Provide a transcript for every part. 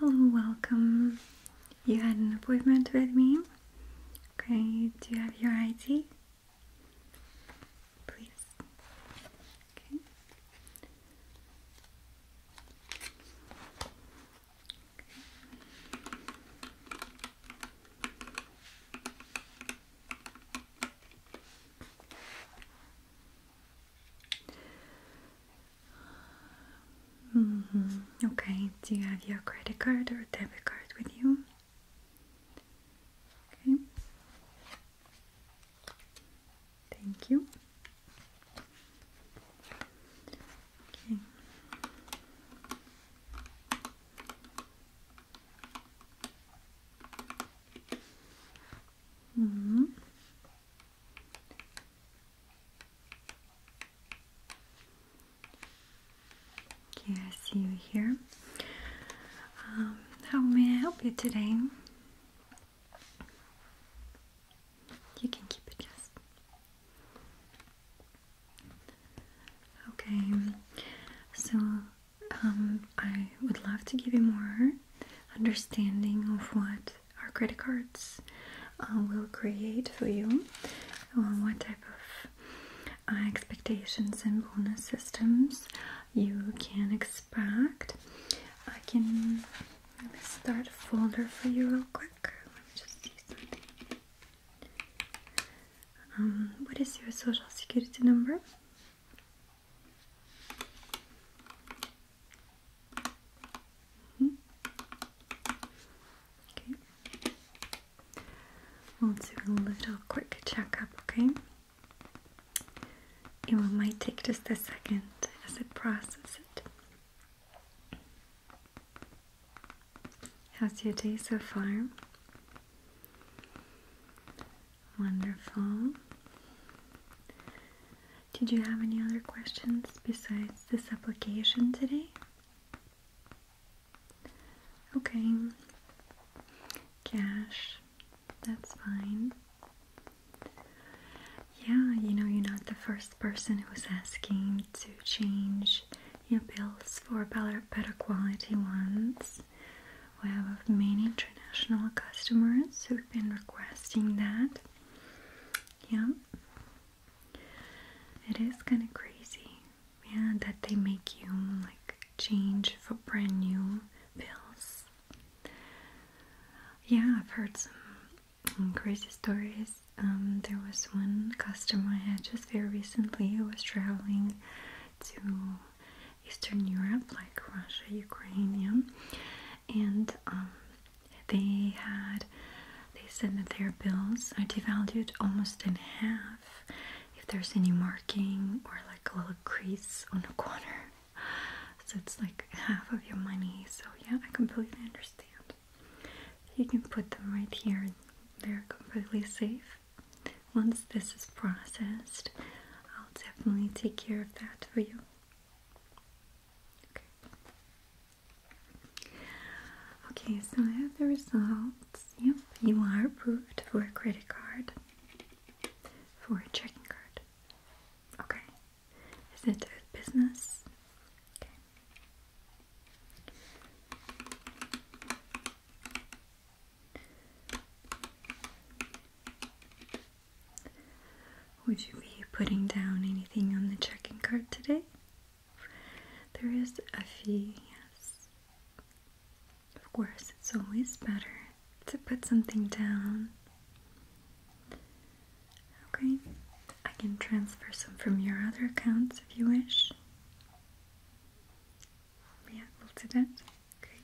Hello, uh, welcome. You had an appointment with me. Okay, do you have your ID? Please. -hmm. Okay, do you have your credit card or debit card with you? Okay. Thank you. Okay. Mm -hmm. Okay, I see you here. Um, how may I help you today? You can keep it, yes. Okay, so um, I would love to give you more understanding of what our credit cards uh, will create for you, or what type of uh, expectations and bonus systems you can expect. I can start a folder for you real quick. Let me just see something. Um, what is your social security number? Mm -hmm. Okay. We'll do a little quick checkup, okay? It might take just a second as it processes it. How's your day so far? Wonderful. Did you have any other questions besides this application today? Okay. Cash. That's fine. Yeah, you know, you're not the first person who's asking to change your bills for better, better quality ones. We have many international customers who've been requesting that. Yeah. It is kind of crazy, yeah, that they make you like change for brand new pills. Yeah, I've heard some crazy stories. Um, there was one customer I had just very recently who was traveling to Eastern Europe, like Russia, Ukraine, and um, they had they said that their bills are devalued almost in half if there's any marking or like a little crease on the corner. So it's like half of your money. So yeah, I completely understand. You can put them right here; they're completely safe. Once this is processed, I'll definitely take care of that for you. Okay, okay so I have the results. Yep, you are approved for a credit card, for a checking card. Okay, is it a business? Would you be putting down anything on the checking card today? There is a fee, yes. Of course, it's always better to put something down. Okay, I can transfer some from your other accounts if you wish. Yeah, we'll do that. Okay.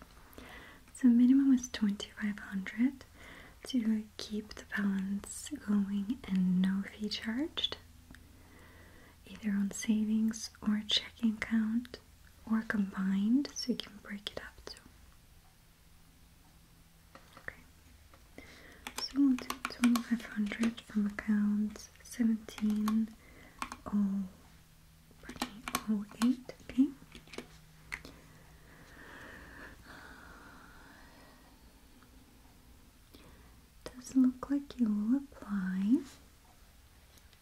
So minimum is 2500 to keep the balance going and no fee charged either on savings or checking account or combined so you can break it up Okay. So 2500 from accounts 17 oh 08 pink. Doesn't look like you will apply.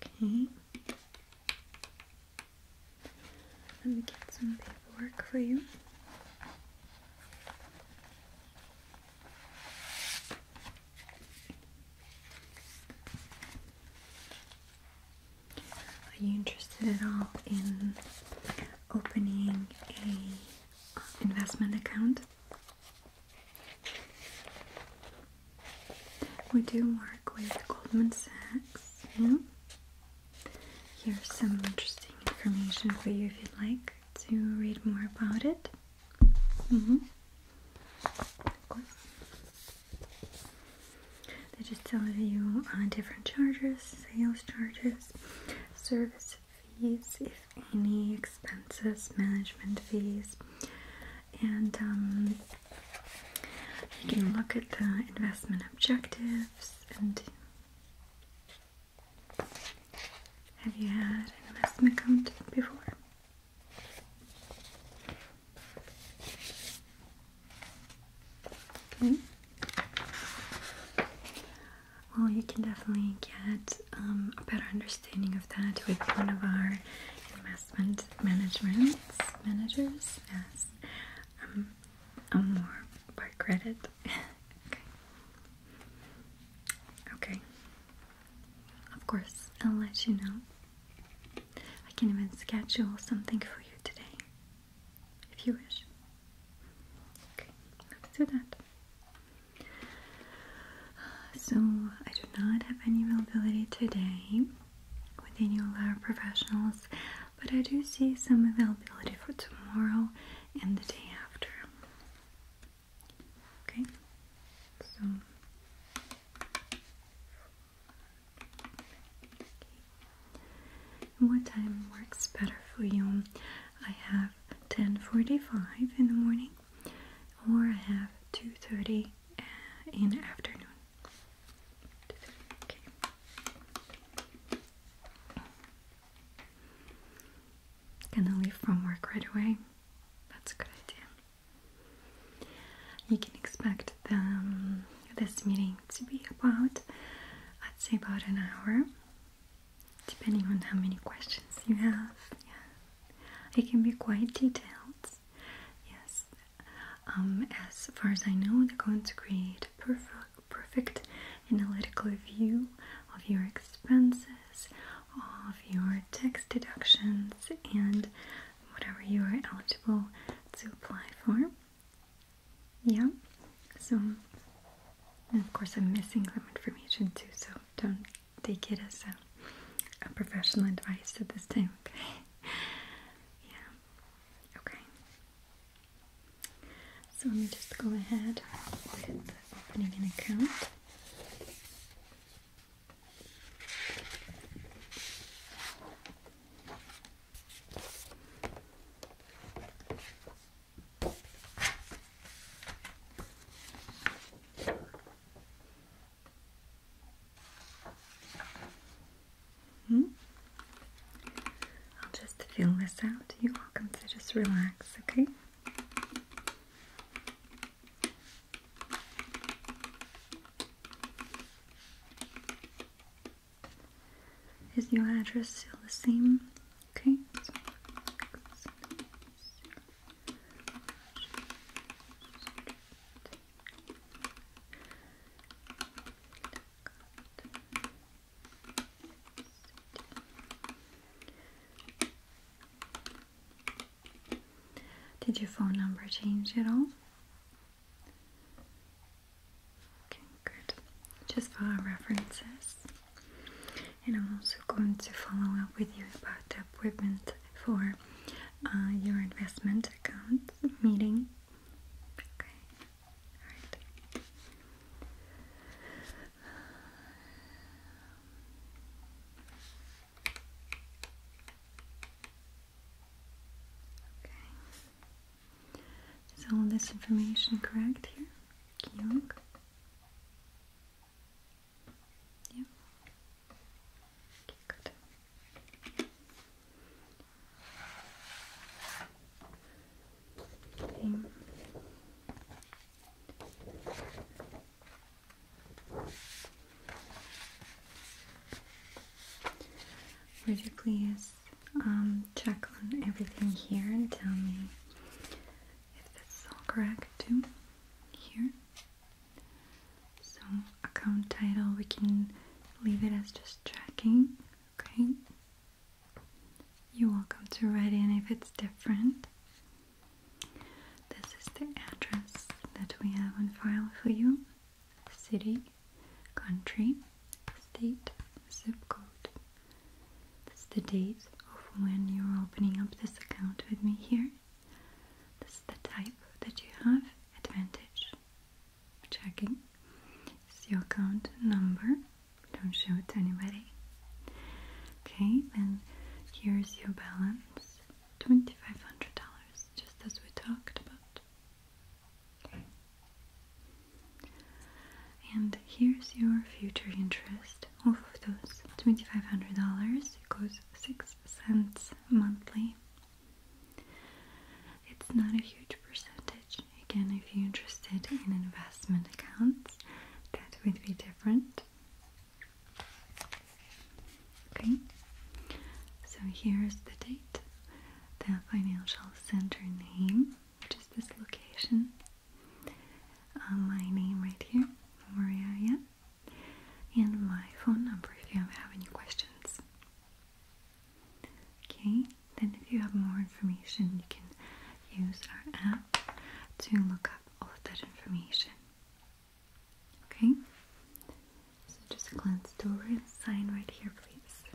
Okay. Let me get some paperwork for you. Are you interested at all in opening a uh, investment account? We do work with Goldman Sachs. Here's some interesting information for you if you'd like to read more about it. Mm-hmm. They just tell you on different charges, sales charges, service fees, if any, expenses, management fees, and um, you can look at the investment objectives and have you had an investment account before? Well, you can definitely get um, a better understanding of that with one of our investment management managers. Yes, um, i more by credit. okay. Okay. Of course, I'll let you know I can even schedule something for you today if you wish. Okay, let's do that. So, I do not have any availability today with any of our professionals, but I do see some availability for tomorrow and the day after. Okay, so what time works better for you? I have 10:45 in the morning, or I have 2:30 uh, in the afternoon. Okay. Gonna leave from work right away. That's a good idea. You can expect the, this meeting to be about, I'd say, about an hour, depending on how many questions you have. It can be quite detailed. Yes. Um, as far as I know, they're going to create a perfect, perfect analytical view of your expenses, of your tax deductions, and whatever you are eligible to apply for. Yeah, so of course I'm missing some information too, so don't take it as a, professional advice at this time, okay? yeah, okay. So let me just go ahead with opening an account. -hmm. I'll just fill this out. You're welcome to just relax, okay? Is your address still the same? Okay. did your phone number change at all? Okay, good. Just for references. And I'm also going to follow up with you about the appointment for uh, your investment account meeting. Okay, alright. Okay. Is all this information correct here? Can you Okay, good. Okay. Would you please um, check on everything here and tell me if this all correct too? Here. So, account title, we can leave it as just tracking. okay? You're welcome to write in if it's different. This is the address that we have on file for you city, country, state, zip code. That's the date of when you're opening up this account with me here. This is the type that you have. Advantage. Checking. It's your account number. Don't show it to anybody. Okay, and here's your balance. $2,500, just as we talked about. And here's your future interest off of those $2,500. It goes 6 cents monthly. It's not a huge percentage. Again, if you're interested in investment accounts, that would be different. Okay, so here's the date the financial center name, which is this location. Uh, my name right here, Maria, and my phone number if you have any questions. Okay, then if you have more information, you can use our app to look up all of that information. Okay, so just glance over and sign right here, please.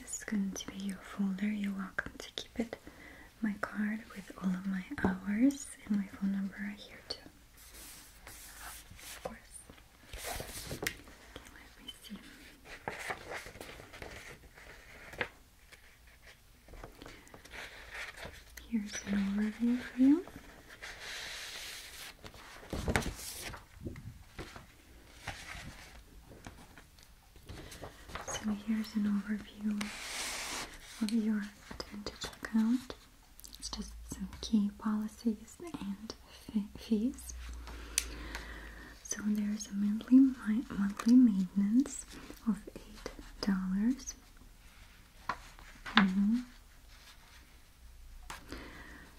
This is going to be your folder. You're welcome to keep it. My card with all of my hours and my phone number are here too. Of course. let me see. Here's an overview for you. So here's an overview of your Advantage account. It's just some key policies and fees. So there's a monthly monthly maintenance of eight dollars. Mm-hmm.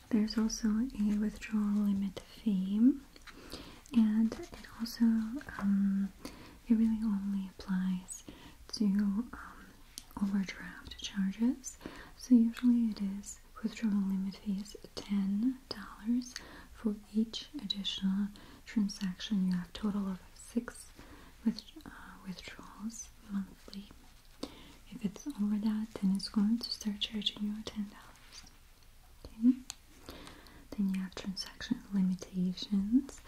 There's also a withdrawal limit fee, and it also um, it really only applies to um, overdraft charges. So usually it is withdrawal limit fees ten dollars for each additional transaction. You have total of six with, uh, withdrawals monthly. If it's over that, then it's going to start charging you ten dollars. Then you have transaction limitations.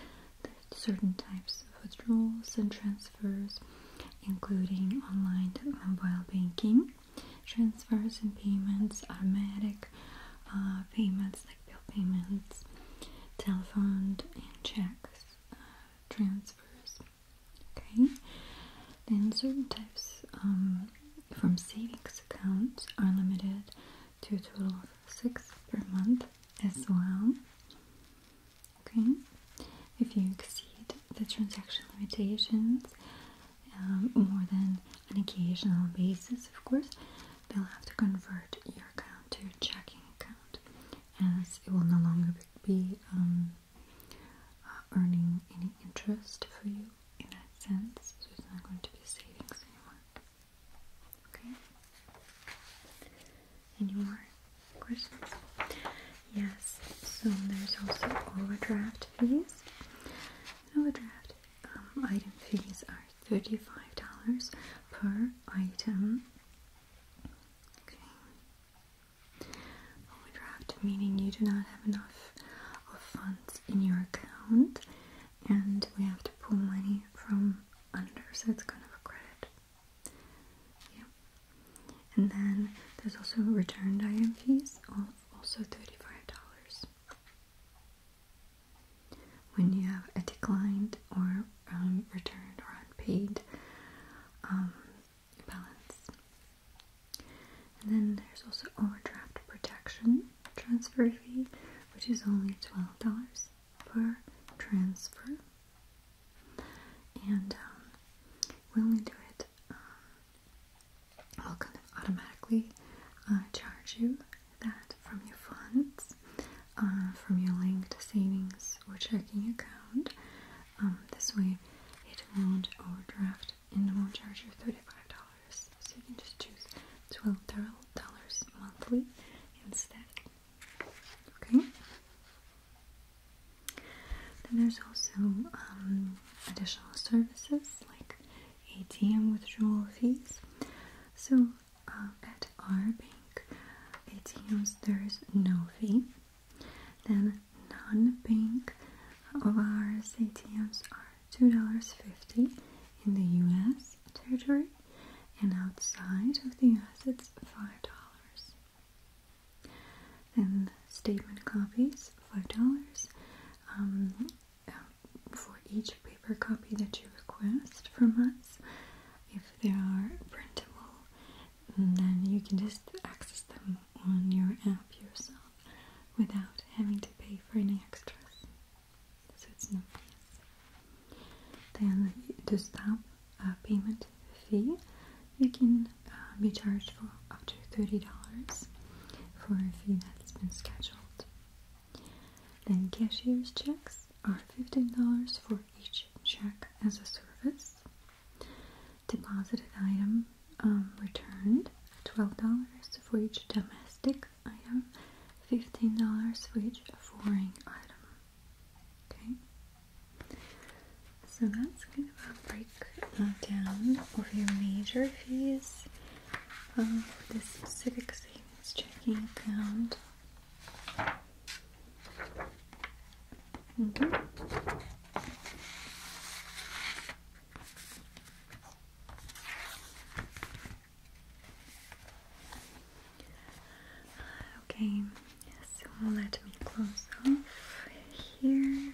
certain types of withdrawals and transfers, including online mobile banking transfers and payments, automatic uh, payments bill payments, telephone and checks, uh, transfers. Okay, then certain types um, from savings accounts are limited to a total of six per month as well. Okay, if you exceed the transaction limitations um, more than an occasional basis, of course, they'll have to convert your account to a checking account as it will no longer be um, uh, earning any interest for you in that sense so it's not going to be savings anymore okay any more questions yes so there's also overdraft fees overdraft um, item fees are $35 per item Overdraft meaning you do not have enough funds in your account and we have to pull money from under, so it's kind of a credit. Yeah. And then there's also returned IM fees also $35 when you have a declined or um, returned or unpaid um, balance. And then there's also overdraft protection transfer fee, which is only $12 per transfer. And um, we only do it, we'll kind of automatically uh, charge you that from your funds. Uh, from your linked savings or checking account. Um, this way, it won't overdraft and won't charge you $35. So you can just choose $12 monthly instead. Okay? Then there's also um, additional services like ATM withdrawal fees. So uh, at our bank, ATMs there is no fee. Then non-bank of ours ATMs are two dollars fifty in the U.S. territory, and outside of the U.S. it's five dollars. Then statement copies five dollars. Um, uh, for each paper copy that you request from us if they are printable, then you can just access them on your app yourself without having to pay for any extras. So it's no fees. Then to stamp a uh, payment fee, you can uh, be charged for up to $30 for a fee that's been scheduled. Then cashier's checks are $15 for each check as a service. Deposited item um, returned $12 for each domestic item, $15 for each foreign item. Okay, so that's kind of a breakdown uh, of your major fees for uh, this specific savings checking account Okay. Mm-hmm. Okay, so let me close off here.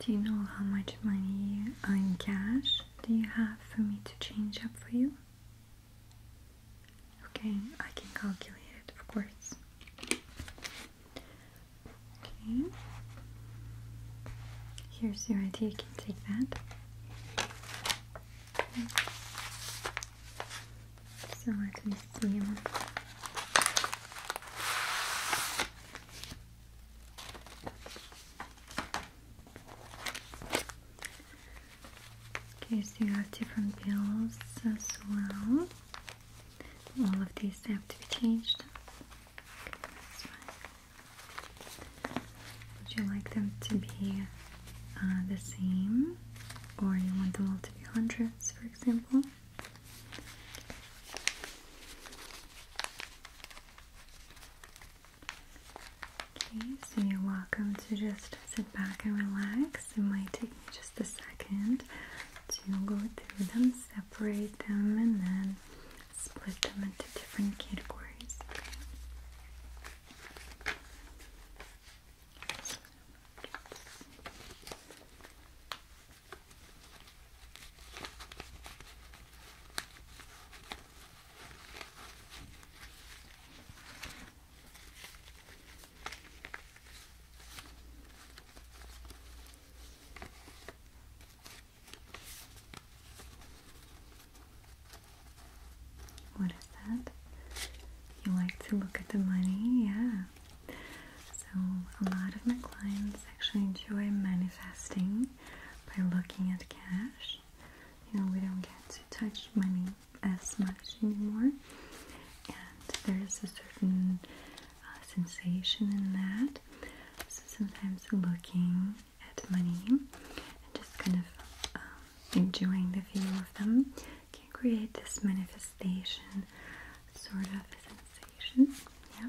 Do you know how much money in cash do you have for me to change up for you? Okay, I can calculate it, of course. Okay. Here's your ID. you can take that. So let me see. Okay, so you have different bills as well. All of these have to be changed. Would you like them to be uh, the same, or you want them all to be hundreds, for example? Okay, so you're welcome to just sit back and relax. It might take me just a second to go through them, separate them, and then split them into different categories. Okay. What is that? You like to look at the money? Yeah. So, a lot of my clients actually enjoy manifesting by looking at cash. You know, we don't get to touch money as much anymore, and there's a certain uh, sensation in that. So, sometimes looking at money and just kind of um, enjoying the view of them can create this manifestation sort of sensation. Yeah.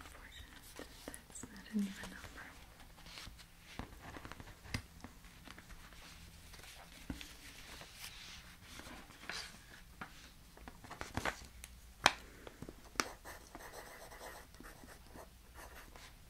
unfortunate. That's not even number. Okay.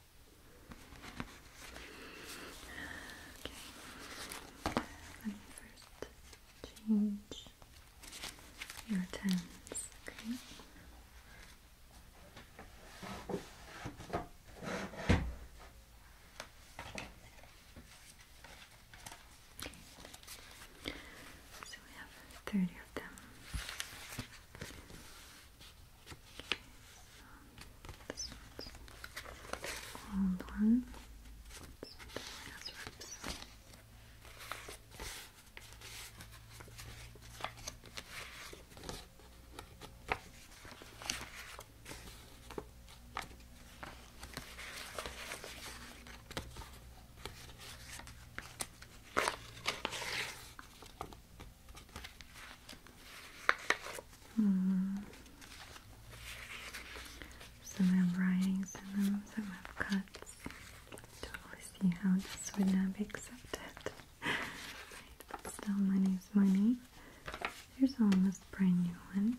Okay. Let me first change your tones, Okay. So we have 30 of them. This one's rolled one. one has rips. This Hmm. Some have writings some have cuts. Totally see how this would not be accepted. right, but still, money. There's almost brand new one.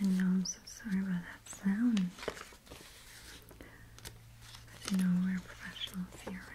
I know I'm so sorry about that sound. But you know we're professionals here, right?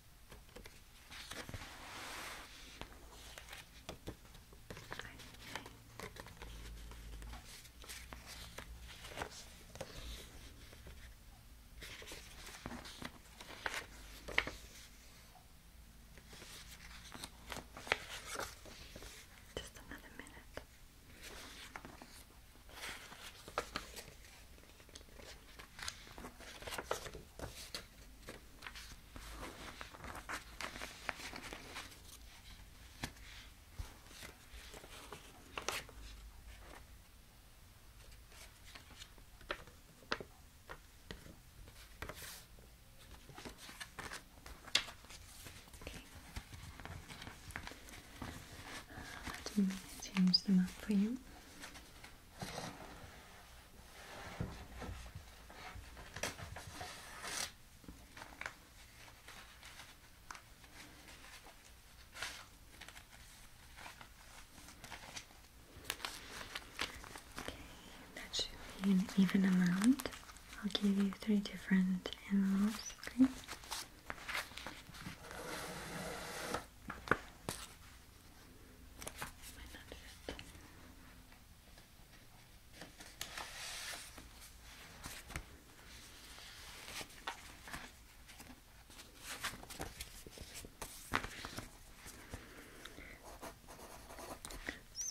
Just another minute. Okay. Uh, let me change them up for you that should be an even amount. I'll give you three different animals, might not fit.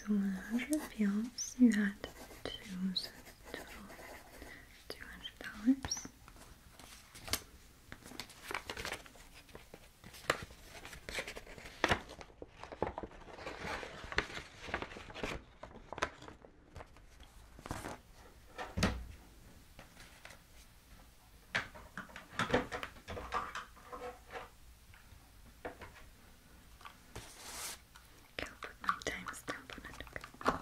So 100 bills, you had two total $200. Okay, I'll put my timestamp on it. Okay.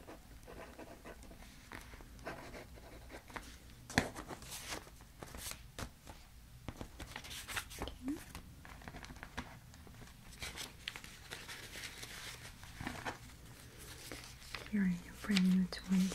Okay. Here are your brand new twenties.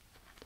Intense.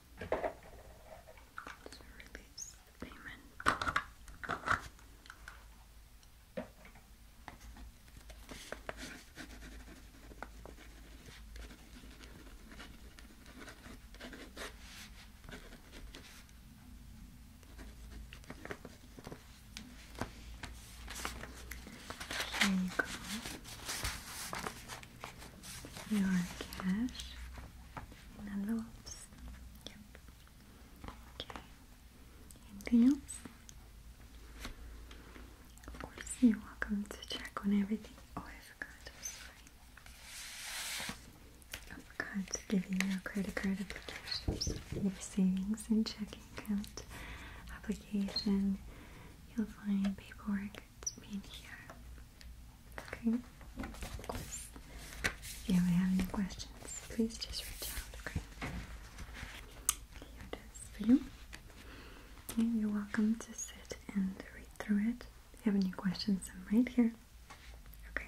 to release payment. There you go your cash envelopes. Yep. Okay. Anything else? Of course, you're welcome to check on everything. Oh, I forgot. I'm sorry. I forgot to give you your credit card applications, your savings and checking account application. You'll find paperwork it's me in here. Okay. If you ever have any questions, please just reach out. Okay. Here it is for you. Okay, you're welcome to sit and read through it. If you have any questions, I'm right here. Okay.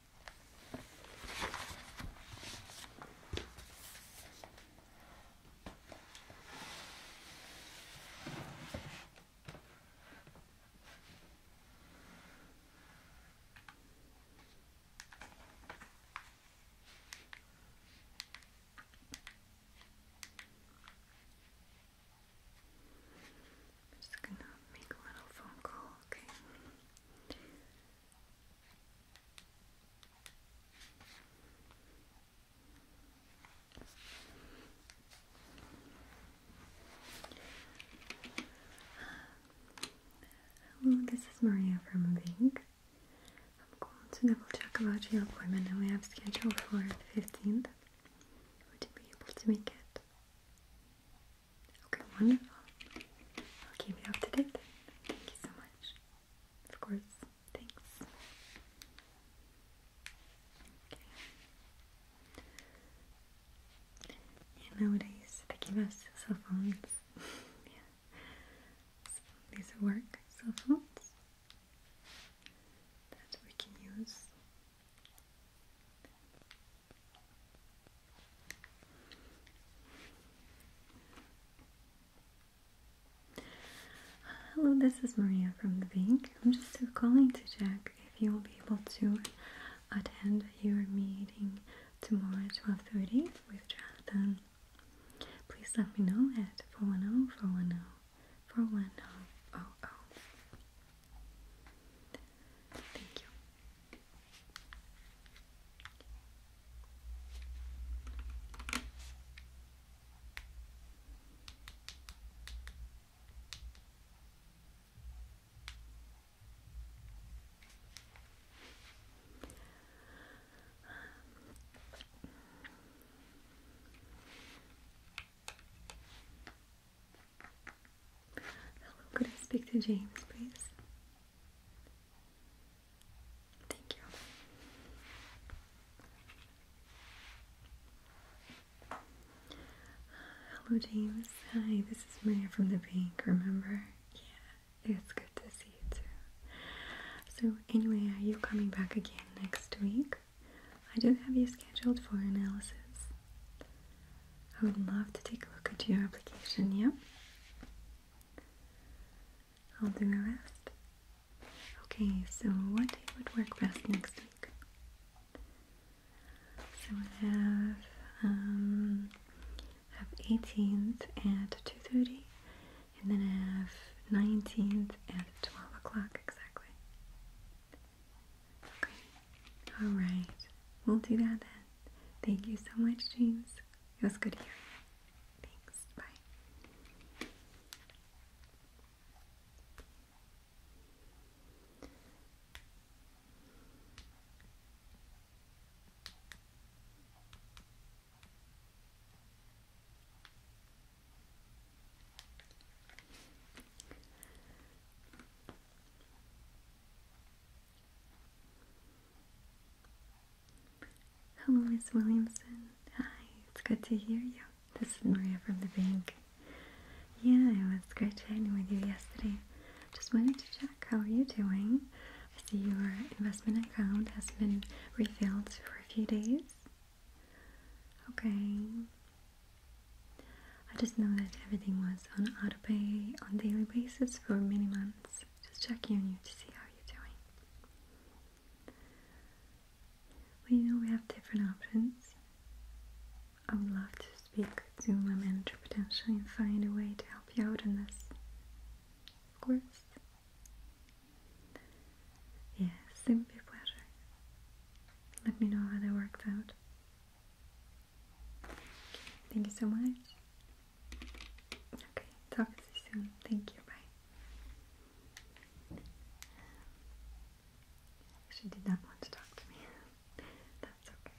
I'm just gonna make a little phone call, okay? Hello, this is Maria from Vink. I'm going to double check about your appointment that we have scheduled for the 15th. Would you be able to make it? Okay, wonderful. I'll keep you up to date Thank you so much. Of course. Thanks. Okay. nowadays they give us cell phones. yeah. these work cell phones that we can use. Hello, this is Maria from the bank. I'm just calling to check if you will be able to attend your meeting tomorrow at 12.30 with Jonathan. Please let me know at 410 410 410 Thank you. Hello, could I speak to James, please? Hello, James. Hi, this is Maria from the bank, remember? Yeah, it's good to see you too. So, anyway, are you coming back again next week? I do have you scheduled for analysis. I would love to take a look at your application, yeah? I'll do the rest. Okay, so what day would work best next week? So I have um, have 18th at 2:30, and then I have 19th at 12 o'clock exactly. Okay, all right, we'll do that then. Thank you so much, James. It was good hearing you. Thanks. Bye. Hello, Miss Williamson. Hi, it's good to hear you. This is Maria from the bank. Yeah, it was great chatting with you yesterday. Just wanted to check how are you doing. I see your investment account has been refilled for a few days. Okay. I just know that everything was on autopay on daily basis for many months. Just checking on you to see how you're doing. We know, we have different options. I would love to speak to my manager potentially and find a way to help you out in this. Of course. Yes, it would be a pleasure. Let me know how that works out. thank you so much. Okay, talk to you soon. Thank you. Bye. She did not want to talk to me. That's okay.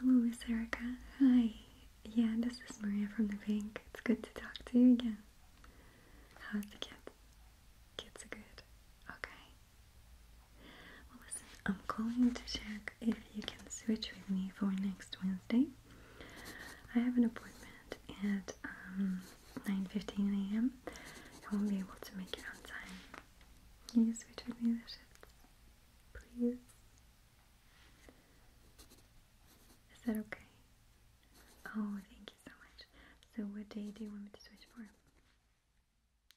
Hello, Miss Erica. Hi. Yeah, this is Maria from the bank. It's good to talk to you again. How are the kids? Kids are good. Okay. Well, listen, I'm calling to check if you can switch with me for next Wednesday. I have an appointment at um, 9.15 a.m. I won't be able to make it on time. Can you switch with me please? Is that okay? Oh, thank you so much. So what day do you want me to switch for?